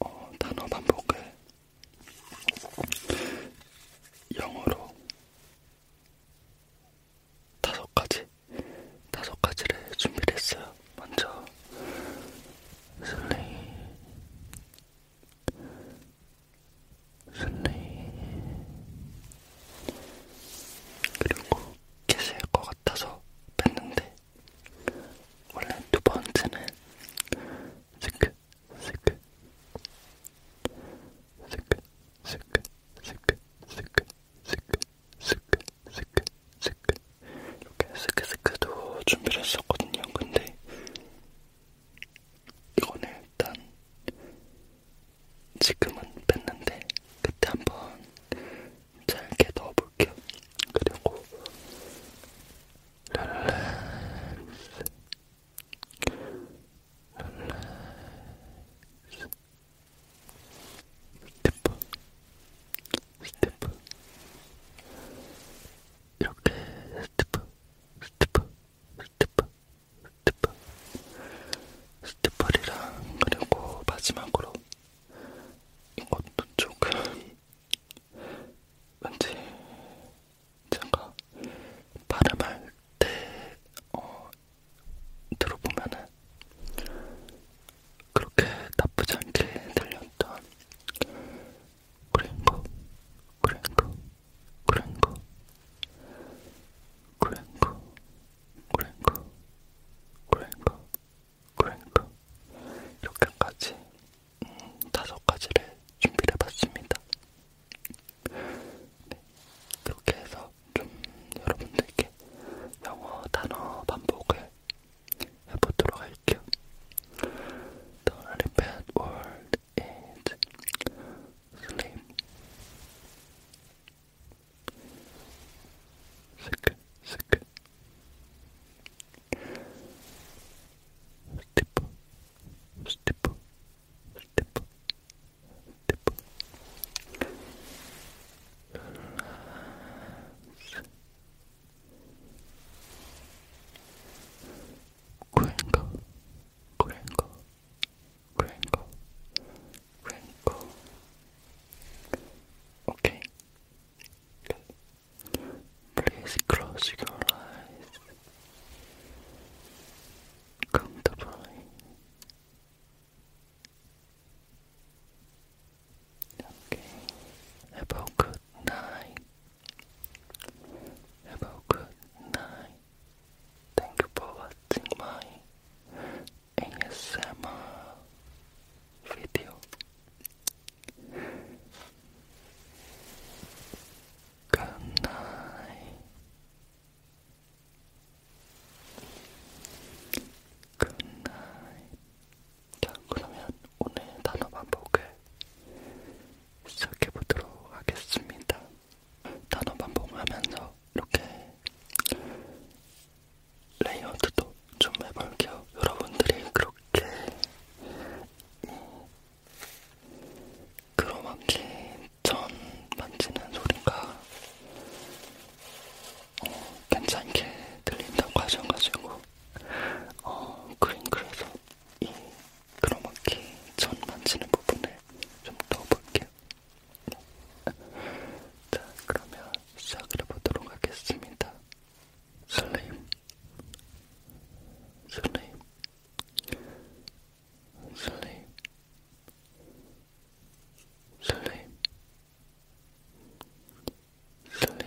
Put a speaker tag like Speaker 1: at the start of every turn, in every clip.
Speaker 1: 어, 단어 반복을 영어로 다섯 가지, 다섯 가지를 준비를 했어요. 먼저 슬레이, 슬레이, 그리고 캐시일 것 같아서 뺐는데 원래 두 번째는 스크 스크 스크 스크 스크 스크 스크 스크 스크 스크 이렇게 스크스크도 준비를 했었거든요. 근데 이거는 일단 지금은 뺐는데 그때 한번 잘게 넣어볼게요. 그리고 릴렉스 릴렉스 스태프 스태프 이렇게 스태프 스태프 스태프 스태프 스태프리랑 그리고 마지막으로 이것도 조금 왠지 제가 발음할 때 어, 들어보면은 그렇게 나쁘지 않게 들렸던 그랭거 그랭거 그랭거 그랭거 그랭거 그랭거 그러니까 이렇게까지 음, 다섯 가지를 준비를 해봤습니다. 네, 그렇게 해서 좀 여러분들께 영어 단어 반복을 해보도록 할게요. The only bad word is sleep. sleep, sleep, it. Stipple, stipple, stipple, stipple. Crinkle, crinkle, crinkle, crinkle. Okay, Please close your eyes comfortably. Okay. Have a good night. Have a good night. Thank you for watching my ASMR 비디오 굿나잇 굿나잇 자 그러면 오늘 단어 반복을 시작해보도록 하겠습니다 단어 반복하면서 이렇게 레이어드도 좀 해볼게요. 여러분들이 그렇게 그로마키 전 만지는 소리가 어, 괜찮게 들린다고 하셔가지고 어, 그림글에서 이 크로마키 전 만지는 부분을 좀 넣어볼게요. 네. 자, 그러면 시작을 해보도록 하겠습니다. 슬림, 슬림, 슬림, 슬림, 슬림, 슬림,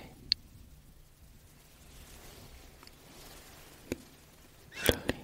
Speaker 1: 슬림.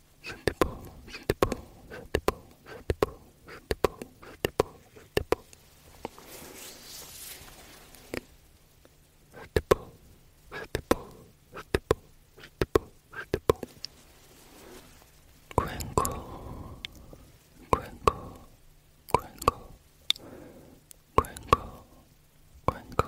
Speaker 1: 스티프 스티프 스티프 스티프 스티프 스티프 스티프 스티프 스티프 스티프 스티프 스티프 구앵구 구앵구 구앵구 구앵구 구앵구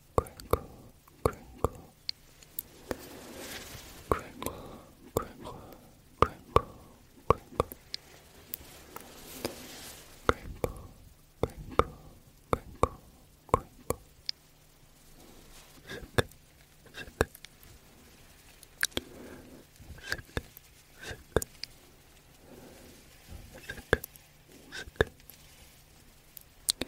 Speaker 1: crinkle, crinkle, crinkle, crinkle, crinkle, crinkle, crinkle, crinkle, crinkle, sick, sick, sick, sick, sick, sick.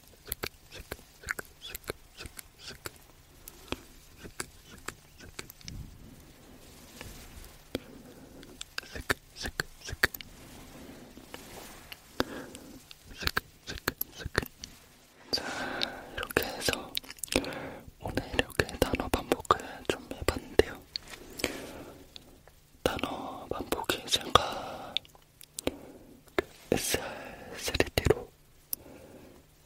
Speaker 1: 자, 이렇게 해서 오늘 이렇게 단어 반복을 좀 해봤는데요. 단어 반복이 제가 그 SR3D로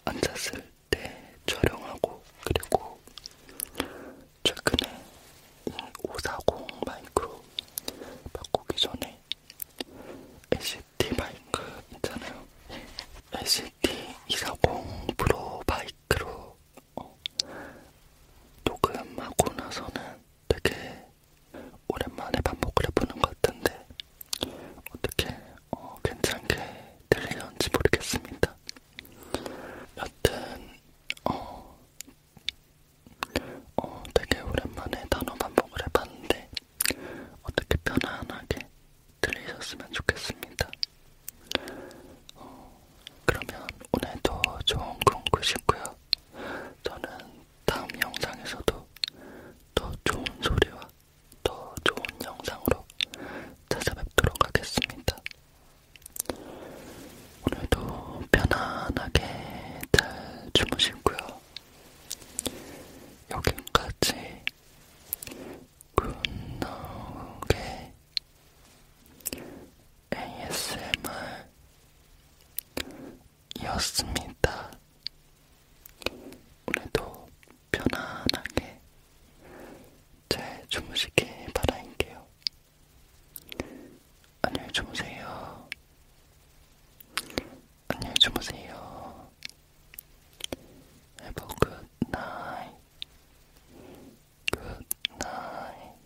Speaker 1: 앉았을 때 촬영하고 그리고 최근에 이540 마이크로 바꾸기 전에 LCD 마이크 있잖아요. LCD 240 프로 마이크로 어, 녹음하고 나서는 되게 오랜만에 밥 먹으려 보는 것 같은데 어떻게 어, 괜찮게 들리는지 모르겠습니다. 여튼 어, 어 되게 오랜만에 단어 반복을 해봤는데 어떻게 편안하게 들리셨으면 좋겠습니다. 어, 그러면 오늘도 좋은 꿈 꾸시고요. 저는 다음 영상에서도 더 좋은 소리와 더 좋은 영상으로 찾아뵙도록 하겠습니다. 오늘도 편안하게 잘 주무시고요. 여기까지 굿노게 ASMR 이었습니다. 오늘도 편안하게 잘 주무시길 바랄게요. 안녕히 주무세요. 안녕히 주무세요. Have a good night. Good night.